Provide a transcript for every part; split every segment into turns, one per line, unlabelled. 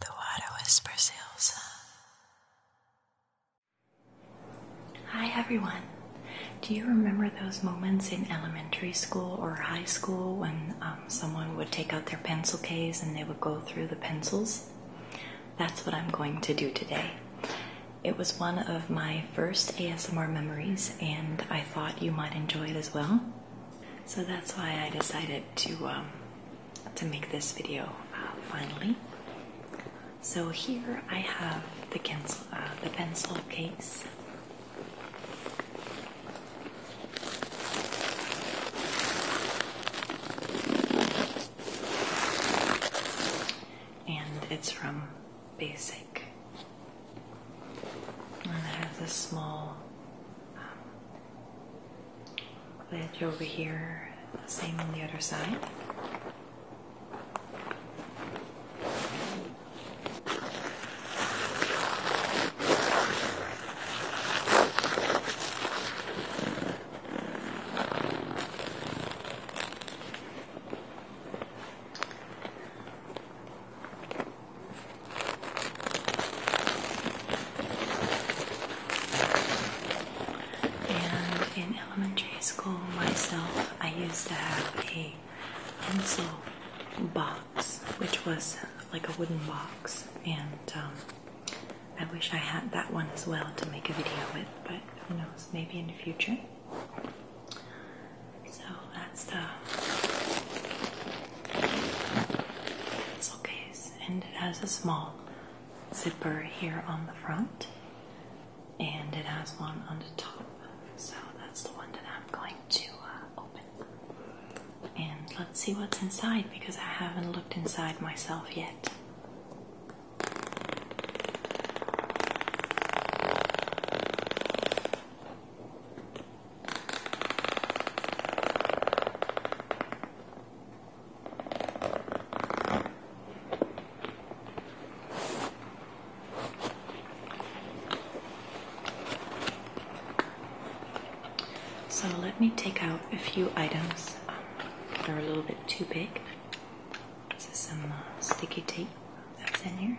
The water whispers Elsa. Hi everyone. Do you remember those moments in elementary school or high school when um, someone would take out their pencil case and they would go through the pencils? That's what I'm going to do today. It was one of my first ASMR memories, and I thought you might enjoy it as well. So that's why I decided to um, to make this video uh, finally. So here I have the pencil, uh, the pencil case. And it's from Basic. I have has small um, Glad you're over here, same on the other side. And in elementary school, myself, I used to have a pencil box, which was like a wooden box, and um, I wish I had that one as well to make a video with, but who knows, maybe in the future. So that's the pencil case, and it has a small zipper here on the front, and it has one on the top. So that's the one that I'm going to uh, open. And let's see what's inside because I haven't looked inside myself yet. So let me take out a few items um, that are a little bit too big. This is some uh, sticky tape that's in here.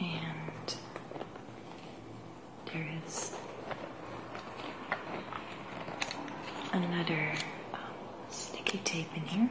And there is another um, sticky tape in here.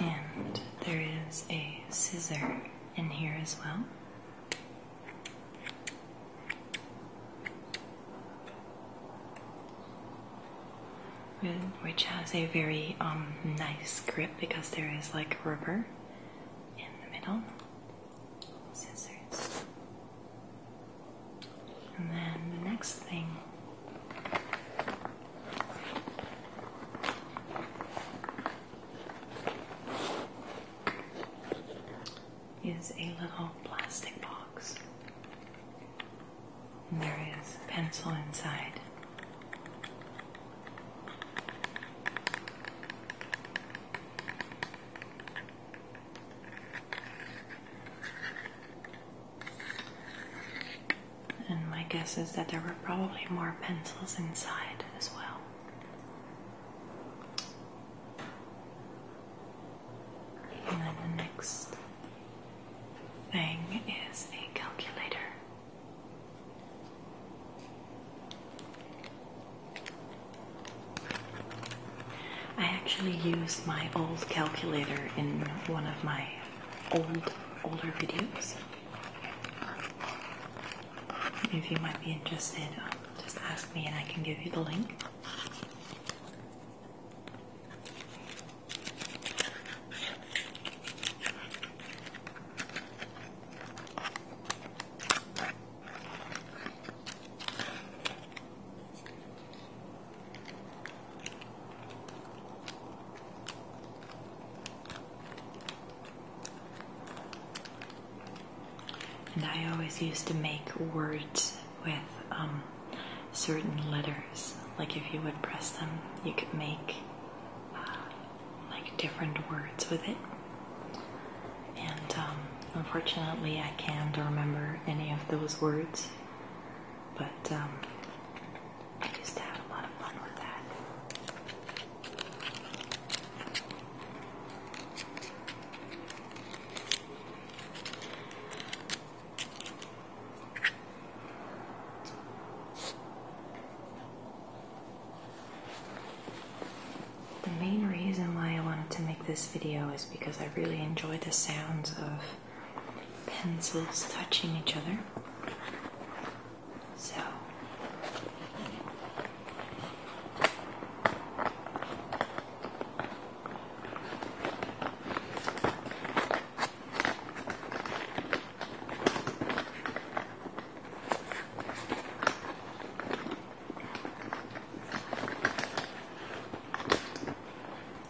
And there is a scissor in here as well which has a very um, nice grip because there is like rubber in the middle. Scissors. And then the next thing is a little plastic box. And there is a pencil inside. And my guess is that there were probably more pencils inside as well. And then the next thing is a calculator. I actually used my old calculator in one of my old older videos. If you might be interested, um, just ask me and I can give you the link. And I always used to make words with um, certain letters. Like if you would press them, you could make uh, like different words with it. And um, unfortunately, I can't remember any of those words, but um, I just had a lot of fun with that. The main reason why I wanted to make this video is because I really enjoy the sounds of pencils touching each other. So,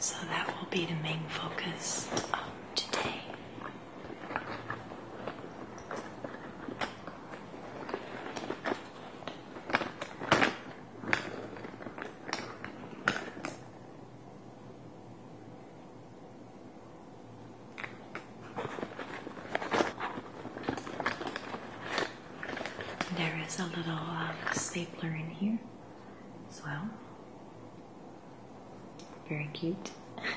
so that will be the main focus of today. There is a little um, stapler in here as well. Very cute.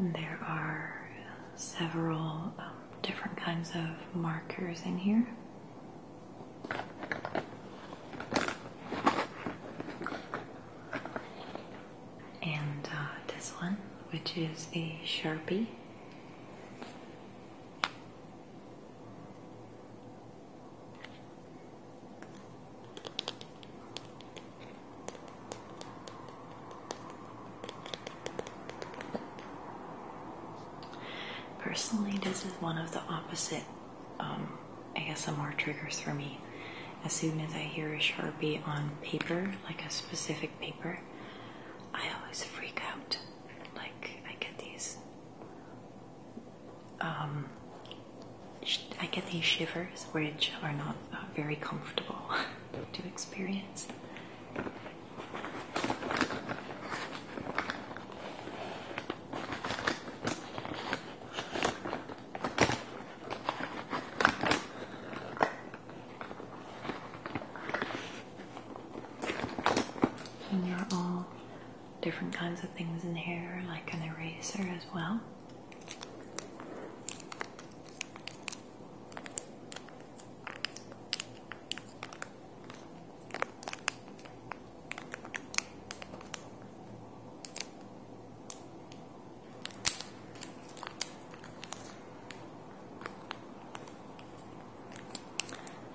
There are several um, different kinds of markers in here. And uh, this one, which is a Sharpie. Personally, this is one of the opposite um, ASMR triggers for me. As soon as I hear a sharpie on paper, like a specific paper, I always freak out. Like, I get these um, I get these shivers, which are not uh, very comfortable to experience. And you're all different kinds of things in here, like an eraser as well.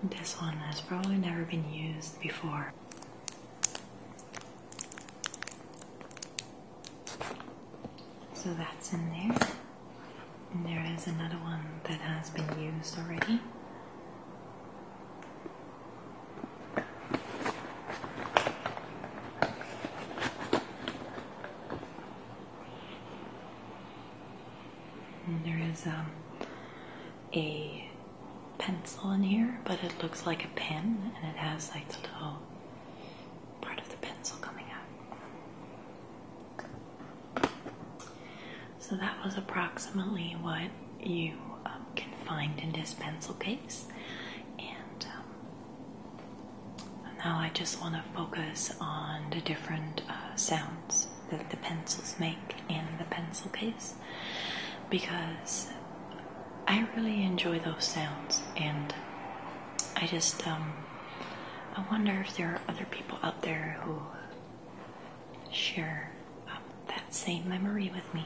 This one has probably never been used before. So that's in there. And there is another one that has been used already. there is um, a pencil in here, but it looks like a pen and it has like the little part of the pencil coming out. So that was approximately what you um, can find in this pencil case. And um, now I just want to focus on the different uh, sounds that the pencils make in the pencil case because I really enjoy those sounds and I just um, I wonder if there are other people out there who share um, that same memory with me.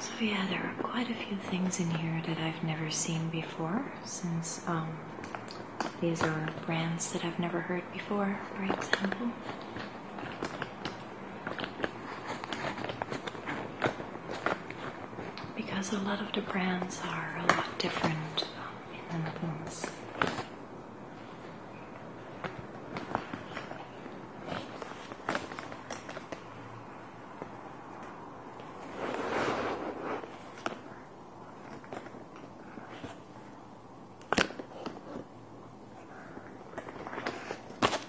So yeah, there are quite a few things in here that I've never seen before, since um, these are brands that I've never heard before, for example because a lot of the brands are a lot different in the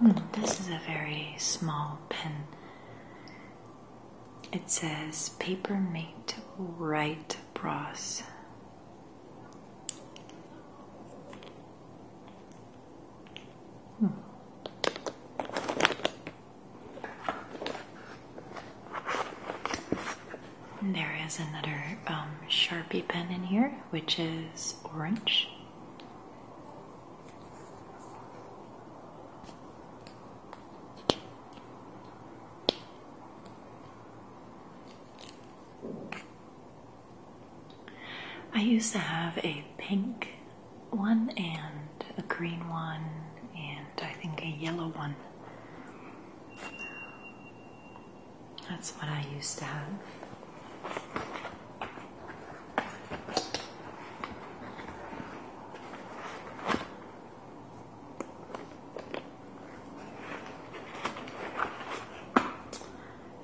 Hmm, this is a very small pen. It says Paper Mate Right Brass. Hmm. There is another um, Sharpie pen in here, which is orange. I used to have a pink one and a green one, and I think a yellow one. That's what I used to have.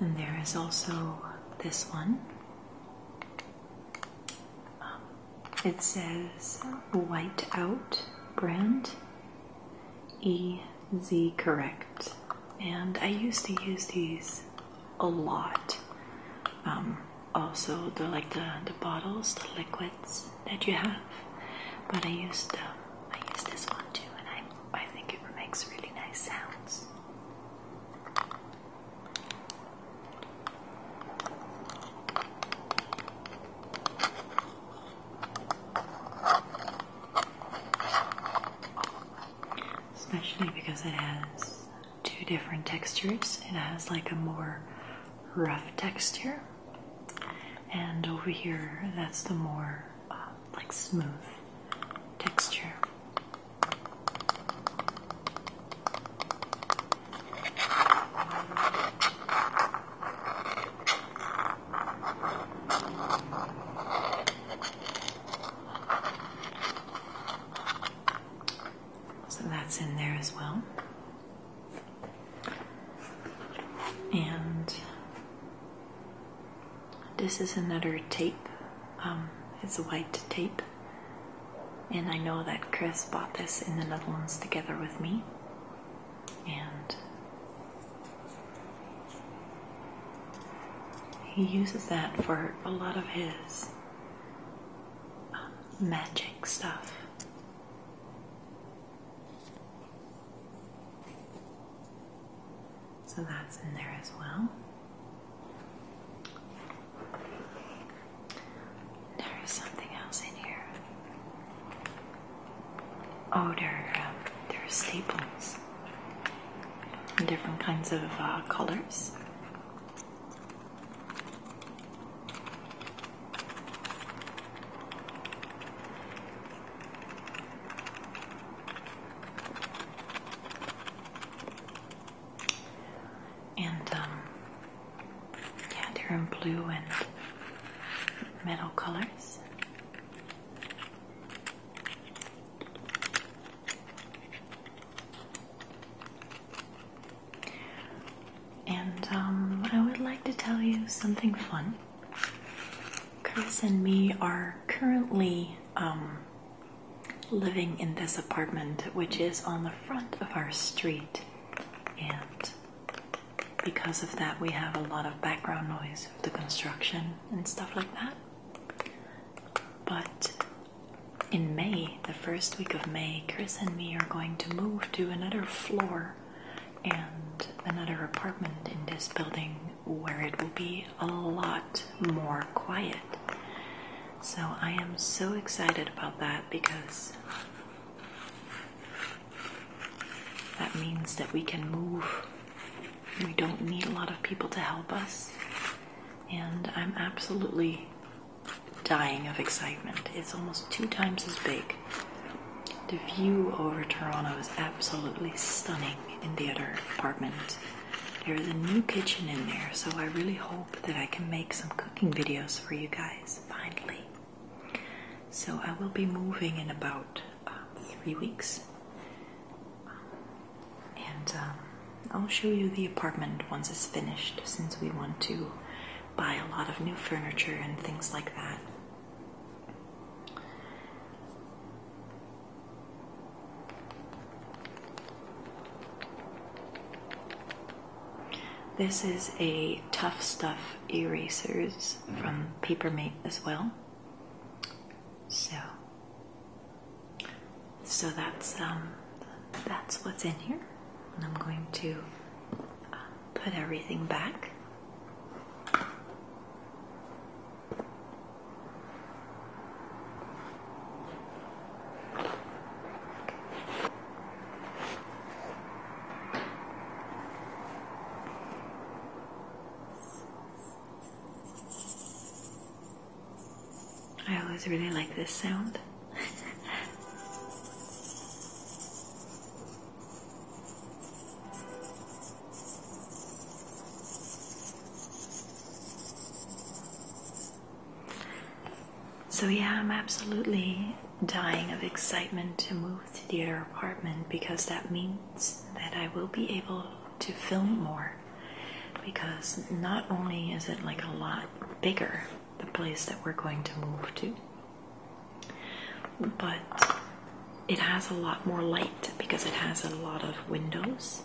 And there is also this one. Um, it says White Out brand EZ Correct. And I used to use these a lot. Um, also, they're like the, the bottles, the liquids that you have. But I used um, I used this one too, and I I think it makes really nice sounds. Especially because it has two different textures. It has like a more rough texture, and over here, that's the more um, like smooth texture. So that's in there as well. And this is another tape. Um, it's a white tape. And I know that Chris bought this in the Netherlands together with me. And he uses that for a lot of his uh, magic stuff. So that's in there as well. There is something else in here. Oh, there, um, there are staples. Different kinds of uh, colors. And um, yeah, they're in blue and metal colors. And what um, I would like to tell you something fun. Chris and me are currently um, living in this apartment, which is on the front of our street, and because of that, we have a lot of background noise of the construction and stuff like that. But in May, the first week of May, Chris and me are going to move to another floor and another apartment in this building where it will be a lot more quiet. So I am so excited about that because that means that we can move. We don't need a lot of people to help us. And I'm absolutely dying of excitement. It's almost two times as big the view over Toronto is absolutely stunning in the other apartment. There is a new kitchen in there, so I really hope that I can make some cooking videos for you guys finally. So I will be moving in about um, three weeks, and um, I'll show you the apartment once it's finished since we want to buy a lot of new furniture and things like that. This is a Tough Stuff erasers from Papermate as well. So, so that's um, that's what's in here, and I'm going to uh, put everything back. I always really like this sound. So, yeah, I'm absolutely dying of excitement to move to the other apartment because that means that I will be able to film more. Because not only is it like a lot bigger, the place that we're going to move to, but it has a lot more light because it has a lot of windows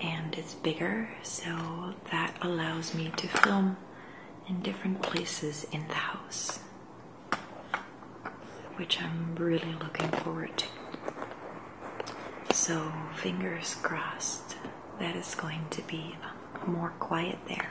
and it's bigger, so that allows me to film in different places in the house, which I'm really looking forward to. So, fingers crossed that is going to be more quiet there.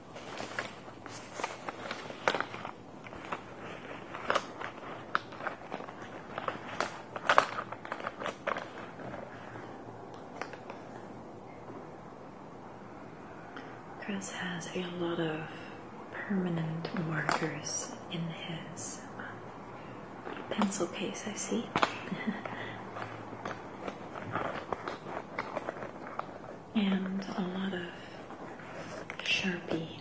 Chris has a lot of permanent markers in his uh, pencil case, I see. and a lot of Sharpie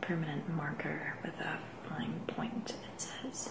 permanent marker with a fine point, it says.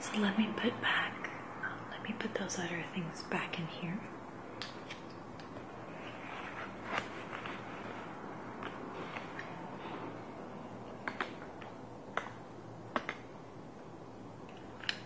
So let me put back, let me put those other things back in here.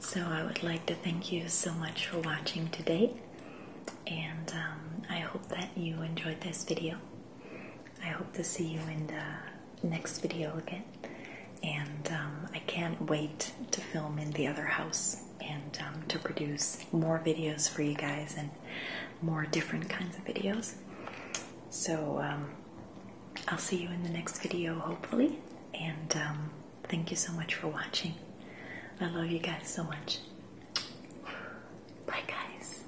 So, I would like to thank you so much for watching today, and um, I hope that you enjoyed this video. I hope to see you in the next video again and um, I can't wait to film in the other house and um, to produce more videos for you guys and more different kinds of videos. So um, I'll see you in the next video, hopefully. And thank you so much for watching. I love you guys so much. Bye, guys.